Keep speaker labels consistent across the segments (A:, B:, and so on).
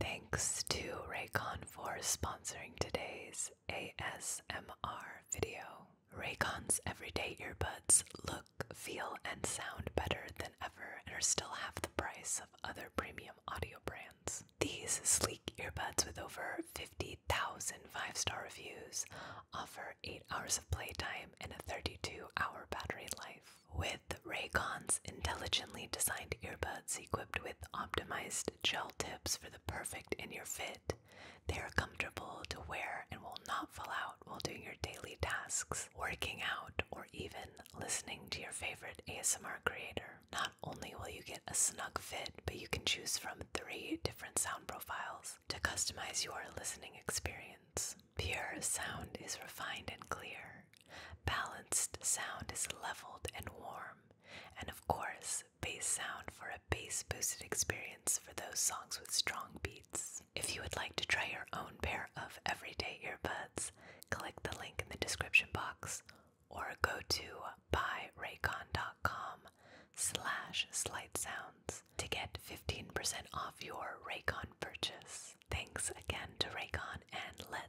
A: Thanks to Raycon for sponsoring today's ASMR video. Raycon's everyday earbuds look, feel, and sound better than ever and are still half the price of other premium audio brands. These sleek earbuds with over 50,000 five star reviews offer 8 hours of playtime and a 32 hour battery life. With Raycon's intelligently designed earbuds equipped with optimized gel tips for the perfect in your fit, they are comfortable to wear and will not fall out while doing your daily tasks, working out, or even listening to your favorite ASMR creator. Not only will you get a snug fit, but you can choose from three different sound profiles to customize your listening experience. Pure sound is refined and clear, Balanced sound is leveled and warm, and of course, bass sound for a bass boosted experience for those songs with strong beats. If you would like to try your own pair of everyday earbuds, click the link in the description box or go to buyraycon.com slash slight sounds to get 15% off your Raycon purchase. Thanks again to Raycon and let's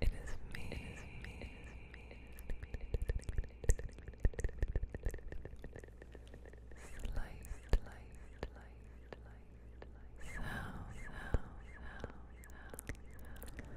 A: It is me. It is me. It is me. Slight, slight, slight, slight, sound, sound, sound, sound.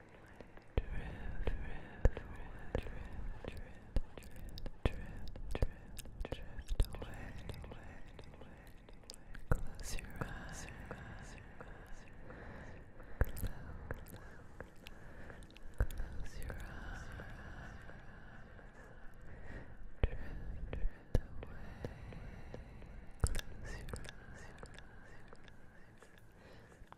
A: Close your eyes. Close your eyes. Close your eyes. Close your eyes. Close your eyes. Close your Close your eyes.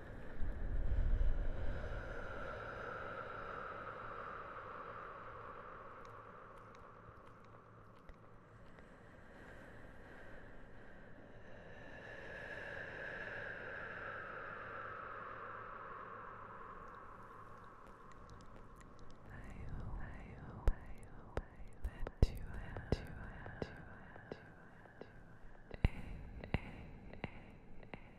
A: hope that you have a